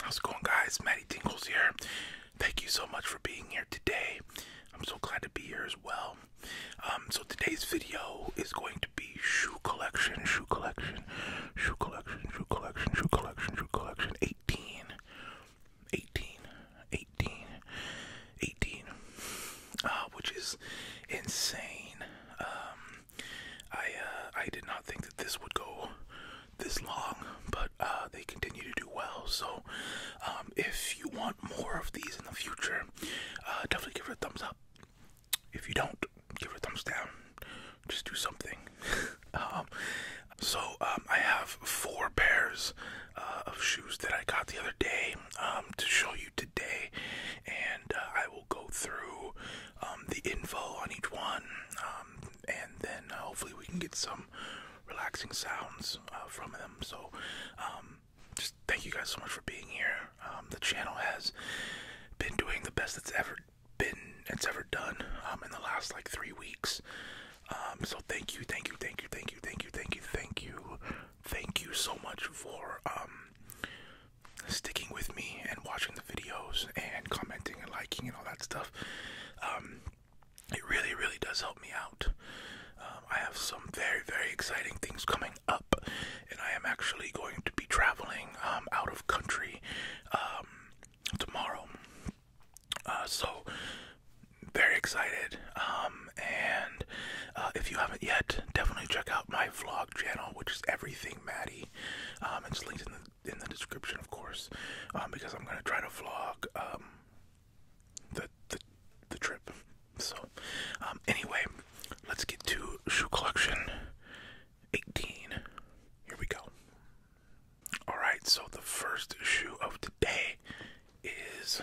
How's it going, guys? Matty Tingles here. Thank you so much for being here today. I'm so glad to be here as well. Um, so today's video is going to be shoe collection, shoe collection, shoe collection, shoe collection, shoe collection, shoe collection, 18 18, ah, which is insane. Um, I uh, I did not think that this would go this long, but uh, they continue to do well. So, um, if you want more of these in the future, uh, definitely give it a thumbs up. If you don't, give it a thumbs down. Just do something. Um, so um, I have four pairs uh, of shoes that I got the other day um, to show you today, and uh, I will go through um, the info on each one, and then uh, hopefully we can get some relaxing sounds from them. So just thank you guys so much for being here. the channel has been doing the best that's ever been it's ever done in the last like three weeks um, so thank you, thank you, thank you, thank you, thank you, thank you, thank you, thank you so much for um, sticking with me and watching the videos and commenting and liking and all that stuff. Um, it really, really does help me out. I have some very, very exciting things coming up, and I am actually going to be traveling out of country tomorrow. Uh, so very excited. Um, and uh, if you haven't yet, definitely check out my vlog channel, which is everything Maddie. Um, it's linked in the in the description, of course, um, because I'm gonna try to vlog the the the trip. So, anyway, let's get to shoe collection 18. Here we go. Alright, so the first shoe of today is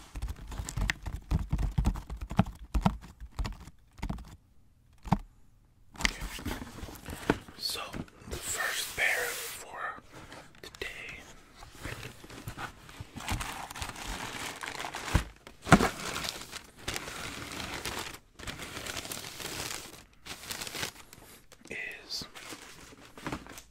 So the first pair for today is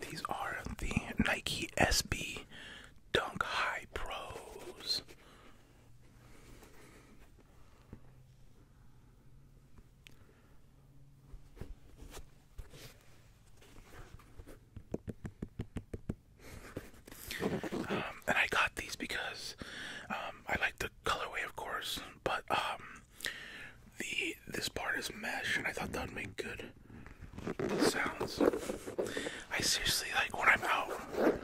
These are the Nike SB Dunk High Pros. Um, and I got these because um, I like the colorway, of course, but um, the this part is mesh, and I thought that would make good sounds. I seriously like when I'm out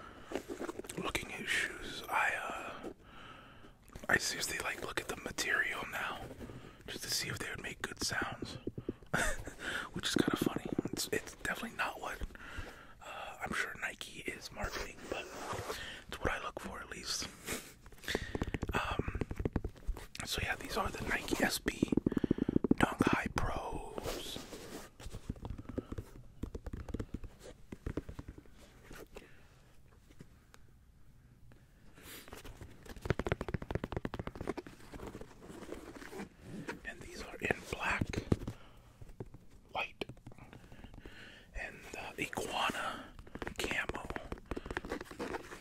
looking at shoes. I uh, I seriously like look at the material now, just to see if they would make good sounds, which is kind of funny. It's, definitely not what uh, I'm sure Nike is marketing, but it's what I look for at least. Um, so yeah, these are the Nike SB Dunk High Pros. And these are in black, white, and uh, iguana camo.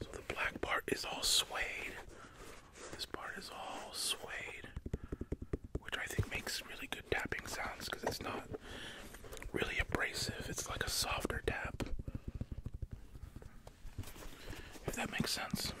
So the black part is all suede. This part is all suede, which I think makes really good tapping sounds because it's not really abrasive. It's like a softer tap. If that makes sense.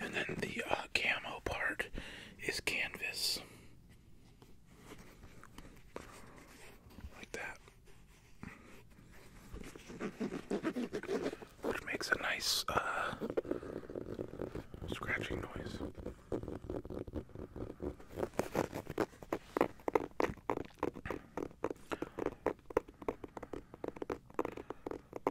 And then the uh, camo part is canvas. Like that. Which makes a nice uh, scratching noise.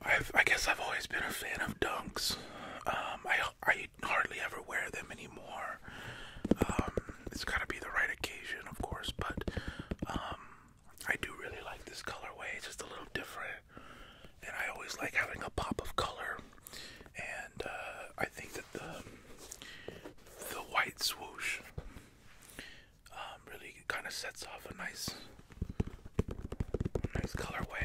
Um, i guess I've always been a fan of dunks. Um, I hardly ever wear them anymore. Um, it's got to be the right occasion, of course, but um, I do really like this colorway. It's just a little different, and I always like having a pop of color. And uh, I think that the the white swoosh um, really kind of sets off a nice nice colorway.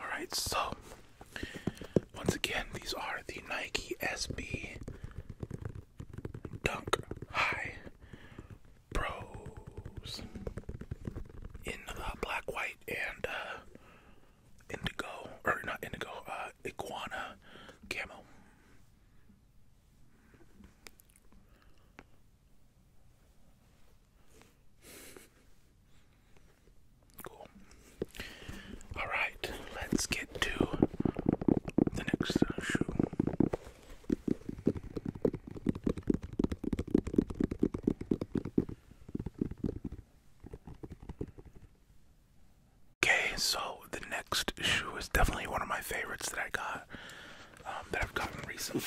Alright, so once again, these are the Nike SB Dunk High Pros in uh, black, white, and uh, indigo, or not indigo, uh, iguana camo. Cool. All right, let's get to the next uh, shoe. Okay, so the next shoe is definitely one of my favorites that I got, um, that I've gotten recently.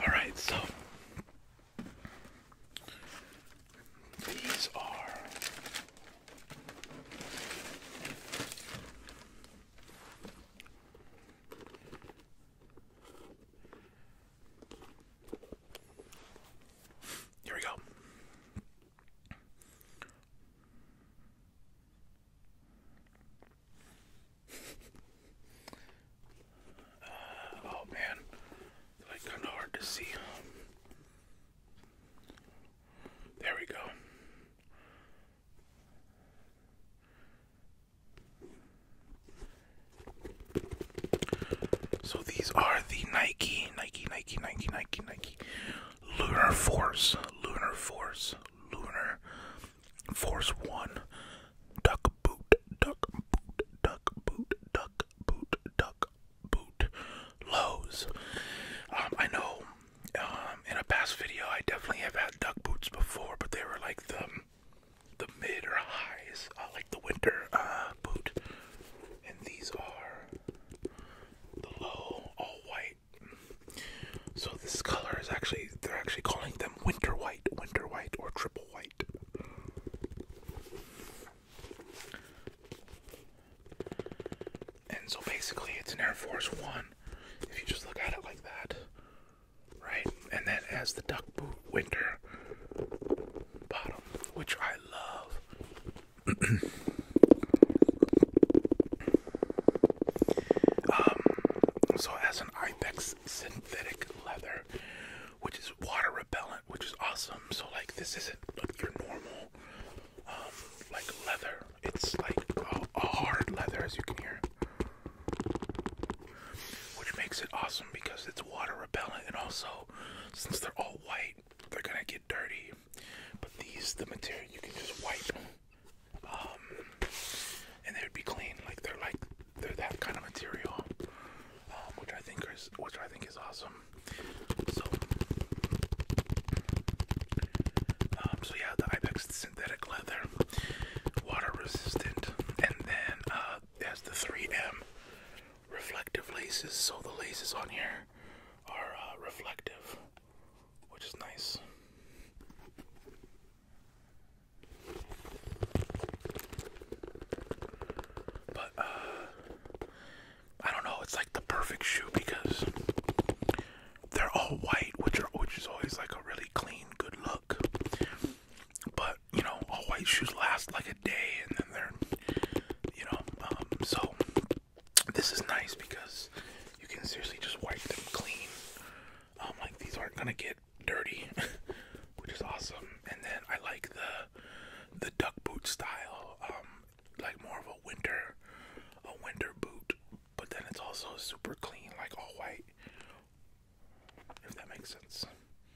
All right, so these are Here we go. Uh, oh man, like kind of hard to see. Um, there we go. So these are the Nike Nike, Nike, Nike, Nike, Nike. Lunar Force, Lunar Force, Lunar Force One. Duck boot, duck boot, duck boot, duck boot, duck boot. Lows. Um, I know. Um, in a past video, I definitely have had duck boots before, but they were like the the mid or highs, uh, like the winter uh, boot. And these are the low all white. So this color is actually they're actually calling them winter white, winter white or triple white. And so basically it's an Air Force 1 if you just look at it like that. Right? And then as the duck boot winter bottom, which I love. Um, so it an Ibex synthetic leather, which is water repellent, which is awesome. So like this isn't like your normal um, like leather. It's like a, hard leather, as you can hear, which makes it awesome because it's water repellent, and also since they're all white, they're gonna get dirty. But these, the material, you can just wipe, um, and they would be clean. Like they're like they're that kind of material, um, which I think is which I think is awesome. So, um, so so have the Ibex synthetic leather, water resistant, and then uh, it has the 3M reflective laces, so the laces on here are uh, reflective, which is nice. But uh, I don't know. It's like the perfect shoe because they're all white, which are which is always like a really clean, good look. But you know, all white shoes last like Day and then they're, you know, um, so this is nice because you can seriously just wipe them clean. Um, like these aren't gonna get dirty, which is awesome. And then I like the the duck boot style, um, like more of a winter, a winter boot, but then it's also super clean, like all white. If that makes sense.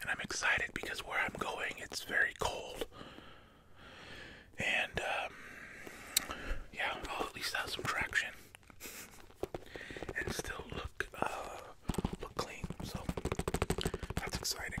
And I'm excited because where I'm going, it's very cold. And, um, yeah, I'll at least have some traction. and still look uh, clean. So, that's exciting.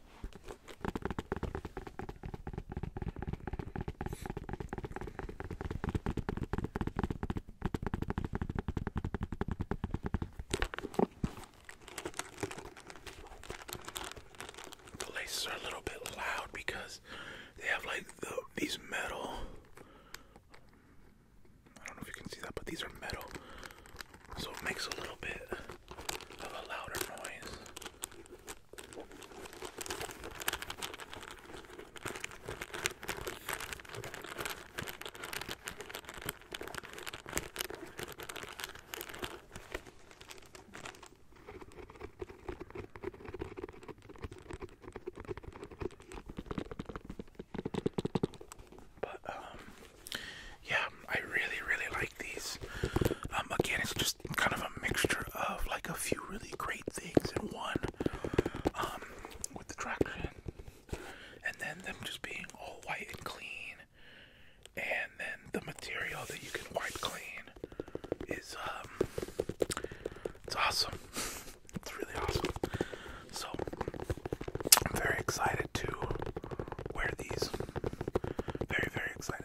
The laces are a little bit loud because they have like these metal. I don't know if you can see that, but these are metal, so it makes a little bit of a louder noise. But um yeah, I really, really like these. Um, again, it's just kind of a mixture of like a few really great things in one, um, with the traction, and then them just being all white and clean, and then the material that you can wipe clean is um, it's awesome. It's really awesome. So I'm very excited to wear these. Very, very excited.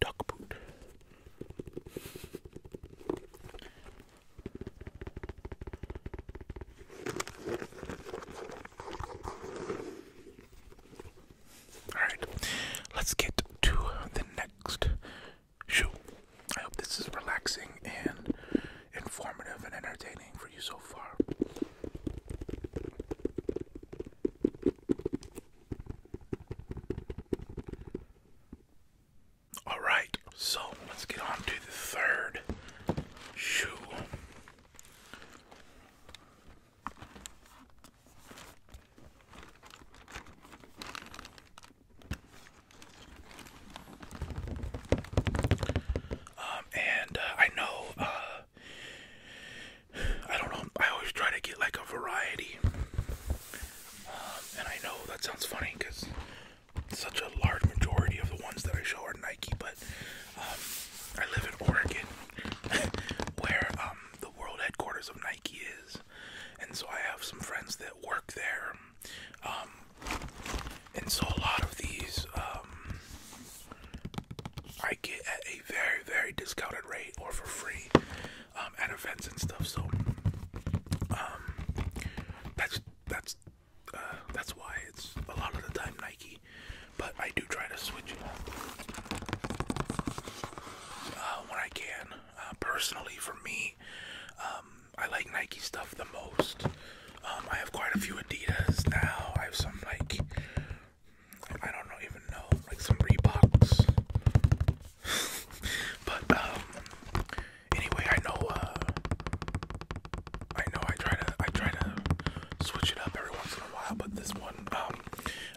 duck boot. Alright, let's get to the next shoe. I hope this is relaxing and informative and entertaining for you so far. All right, so let's get on to the third shoe. Um, and uh, I know uh, I don't know. I always try to get like a variety, um, and I know that sounds funny because such a large majority of the ones that I show are Nike. But um, I live in Oregon, where um, the world headquarters of Nike is, and so I have some friends that work there, and so a lot of these I get at a very very discounted rate or for free um, at events and stuff. So um, that's that's uh, that's why it's a lot of the time Nike, but I do try to switch it up uh, when I can. Uh, personally, for me, um, I like Nike stuff the most. Um, I have quite a few Adidas now. I have some like I don't know, even know, like some Reeboks. but um, anyway, I know. Uh, I know. I try to. I try to switch it up every once in a while. But this one, um,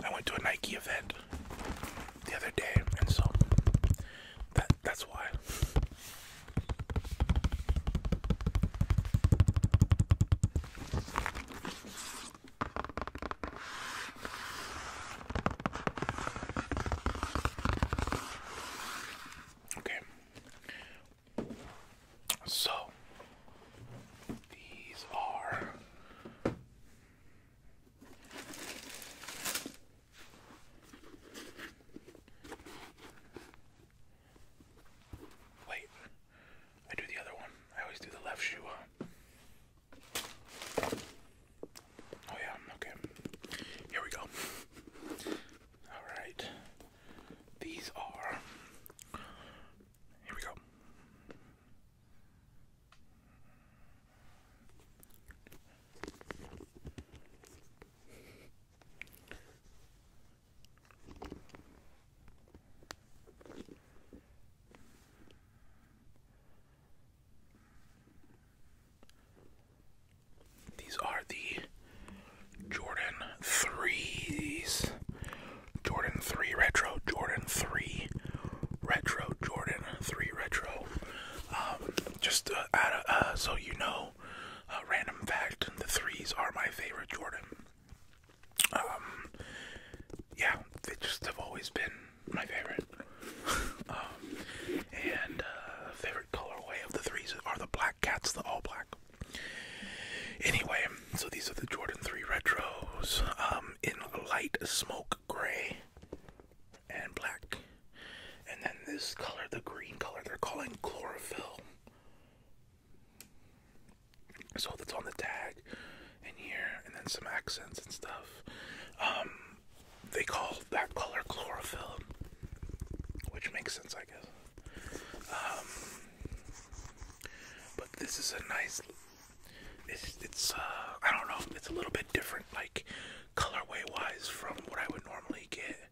I went to a Nike event the other day, and so that that's why. Okay. So these are Wait. I do the other one. I always do the left shoe. Oh, yeah, okay. Here we go. Alright. These are. Here we go. These are the Jordan 3s. Jordan 3 Retro, Jordan 3 Retro, Jordan 3 Retro. Um, just uh, uh, so you know, random fact the 3s are my favorite Jordan. Um, yeah, they just have always been my favorite. um, and uh, favorite colorway of the threes are the black cats, the all black. Anyway, so these are the Jordan 3 Retros um, in light smoke gray and black. And then this color, the green color, they're calling chlorophyll so that's on the tag in here and then some accents and stuff um they call that color chlorophyll which makes sense i guess um but this is a nice it's uh i don't know it's a little bit different like colorway wise from what i would normally get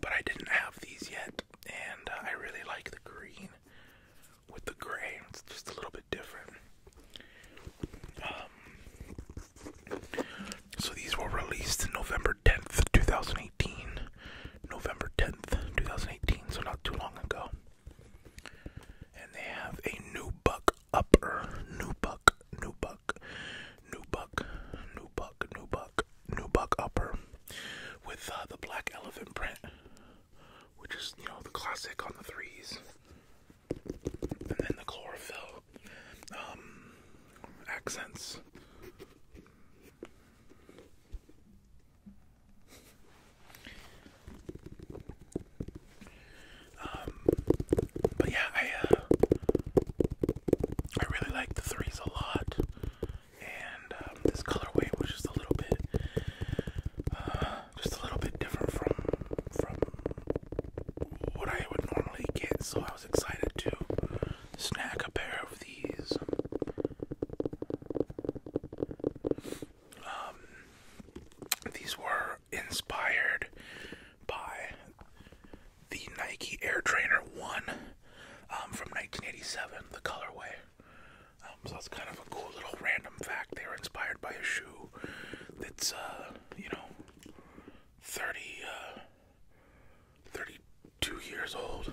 but i didn't have these yet and uh, i really like the green with the gray it's just a little bit bit different. Um, so these were released November 10th, 2018. November 10th, 2018, so not too long ago. And they have a new buck upper. New buck, new buck, new buck, new buck, new buck, new buck upper with uh, the black elephant print which is, you know, the classic on the threes. And then the chlorophyll um, accents. Um, but yeah, I uh, I really like the threes a lot, and um, this colorway was just a little bit uh, just a little bit different from from what I would normally get, so I was excited to snack a pair of these. Um, these were inspired by the Nike Air Trainer One um, from 1987, the colorway. Um, so it's kind of a cool little random fact. They were inspired by a shoe that's, uh, you know, 30, uh, 32 years old.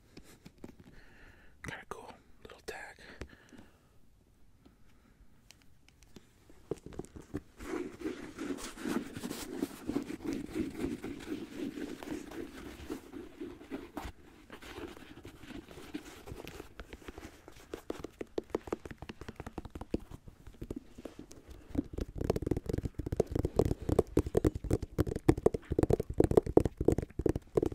Kind of cool little tag.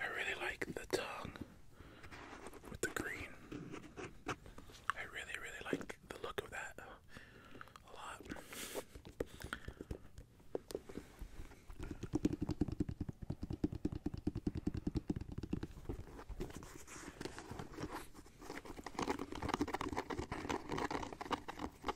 I really like the tongue with the green. I really, really like the look of that a lot.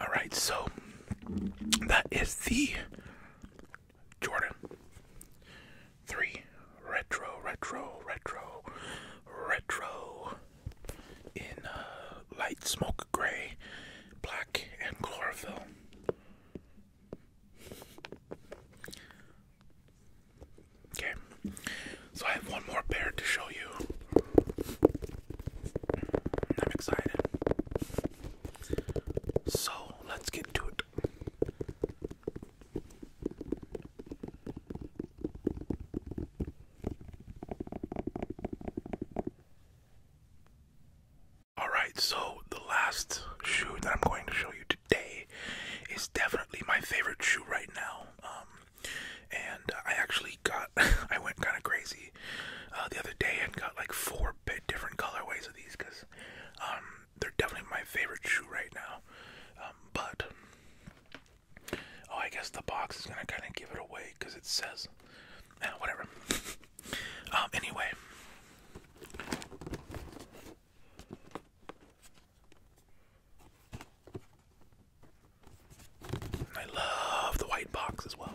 All right, so that is the Jordan 3 retro, retro, retro, retro in uh, light smoke gray, black, and chlorophyll. Okay, so I have one more pair to show you. I'm excited. So let's get to it. Alright, so the last shoe that I'm going to show you today is definitely my favorite shoe right now. Um, and I actually got, I went kind of crazy uh, the other day and got like four different colorways of these because um, they're definitely my favorite shoe right now. Um, but, oh, I guess the box is going to kind of give it away because it says, eh, whatever. um, anyway. I love the white box as well.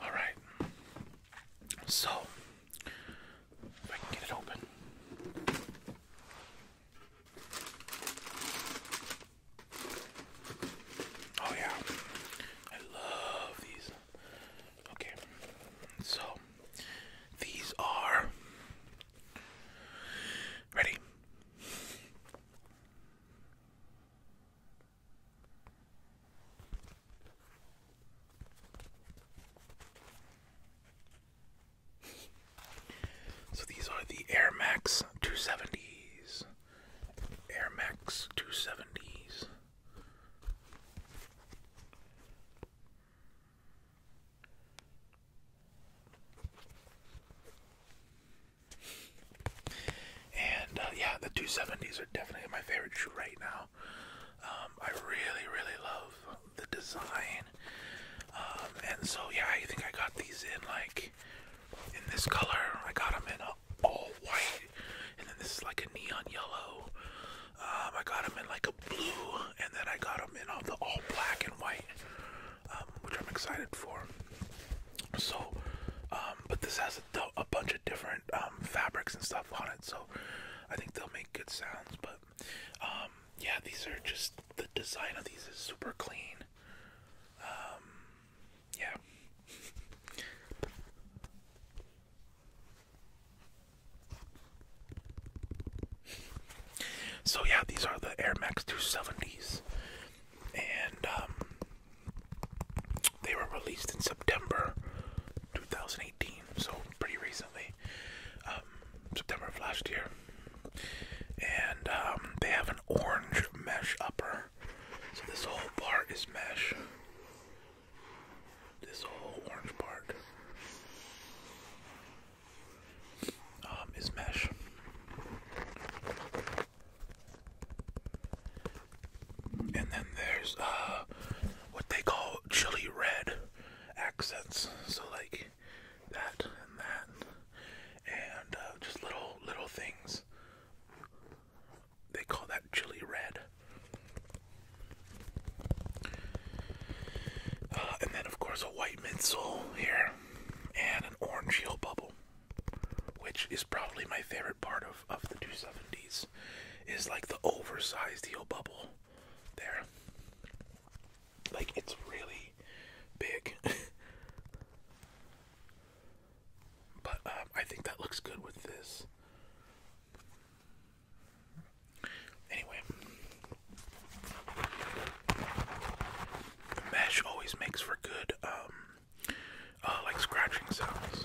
All right. So, if I can get it open. Oh yeah. I love these. Okay. So, these are Ready? So these are the Air Max 270s. Air Max 270s. And uh, yeah, the 270s are definitely my favorite shoe right now. Um, I really, really love the design. Um, and so, yeah, I think I got these in like in this color. I got them in all white, and then this is like a neon yellow. Um, I got them in like a blue, and then I got and all the all black and white, um, which I'm excited for. So, um, but this has a, a bunch of different um, fabrics and stuff on it, so I think they'll make good sounds. But um, yeah, these are just the design of these is super clean. Um, yeah. So yeah, these are the Air Max 270s, and um, they were released in September 2018, so pretty recently, um, September of last year. And um, they have an orange mesh upper, so this whole part is mesh. This whole orange part um, is mesh. And then there's uh, what they call chili red accents. So like that and that, and uh, just little little things. They call that chili red. Uh, and then of course white midsole here and an orange heel bubble, which is probably my favorite part of, of the 270s, is like the oversized heel bubble there. Like it's really big. but um, I think that looks good with this. Anyway, mesh always makes for good, um, uh, like scratching sounds.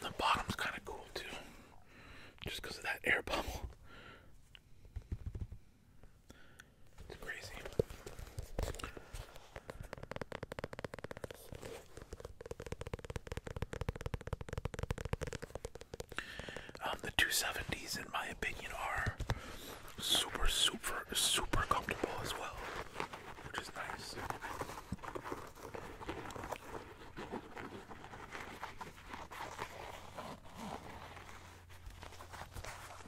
The bottom's kind of cool too, just because of that air bubble. Um, the 270s, in my opinion, are super, super, super comfortable as well, which is nice.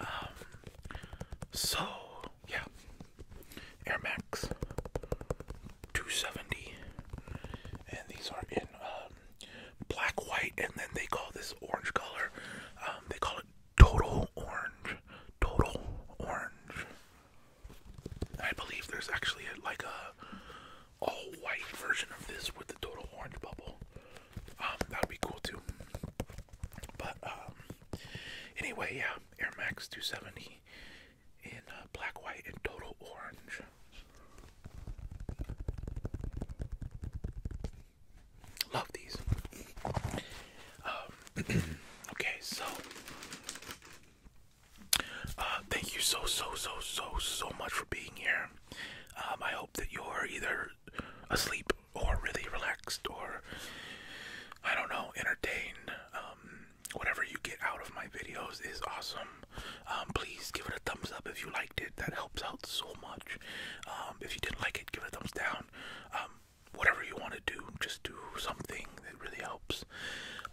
Um, so yeah, Air Max 270, and these are in um, black, white, and then they call this orange color. Um, they call it total orange. Total orange. I believe there's actually a, like a all white version of this with the total orange bubble. Um, that would be cool too. But um, anyway, yeah, Air Max 270 in uh, black, white, and total orange. Love these. Um, okay, so uh, thank you so so so so so much for being here. Um, I hope that you're either asleep or really relaxed or I don't know, entertained. Um, whatever you get out of my videos is awesome. please give it a thumbs up if you like. That helps out so much. Um, if you didn't like it, give it a thumbs down. Um, whatever you want to do, just do something that really helps.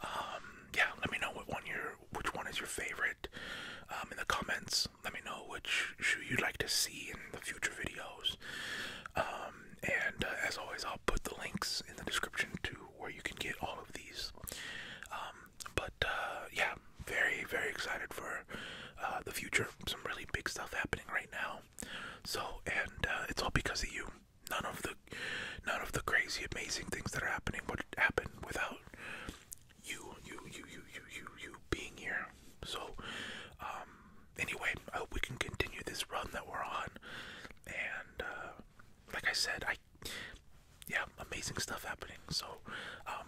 Um, yeah, let me know what one your which one is your favorite in the comments. Let me know which shoe you'd like to see in the future videos. and uh, as always, I'll put the links in the description to where you can get all of these. but uh, yeah, very very excited for uh, the future. Some really big stuff happening right now. So and uh, it's all because of you. None of the none of the crazy amazing things that are happening would happen without you you you you you you you being here. So um, anyway, I hope we can continue this run that we're on. And uh, like I said, I yeah, amazing stuff happening. So um,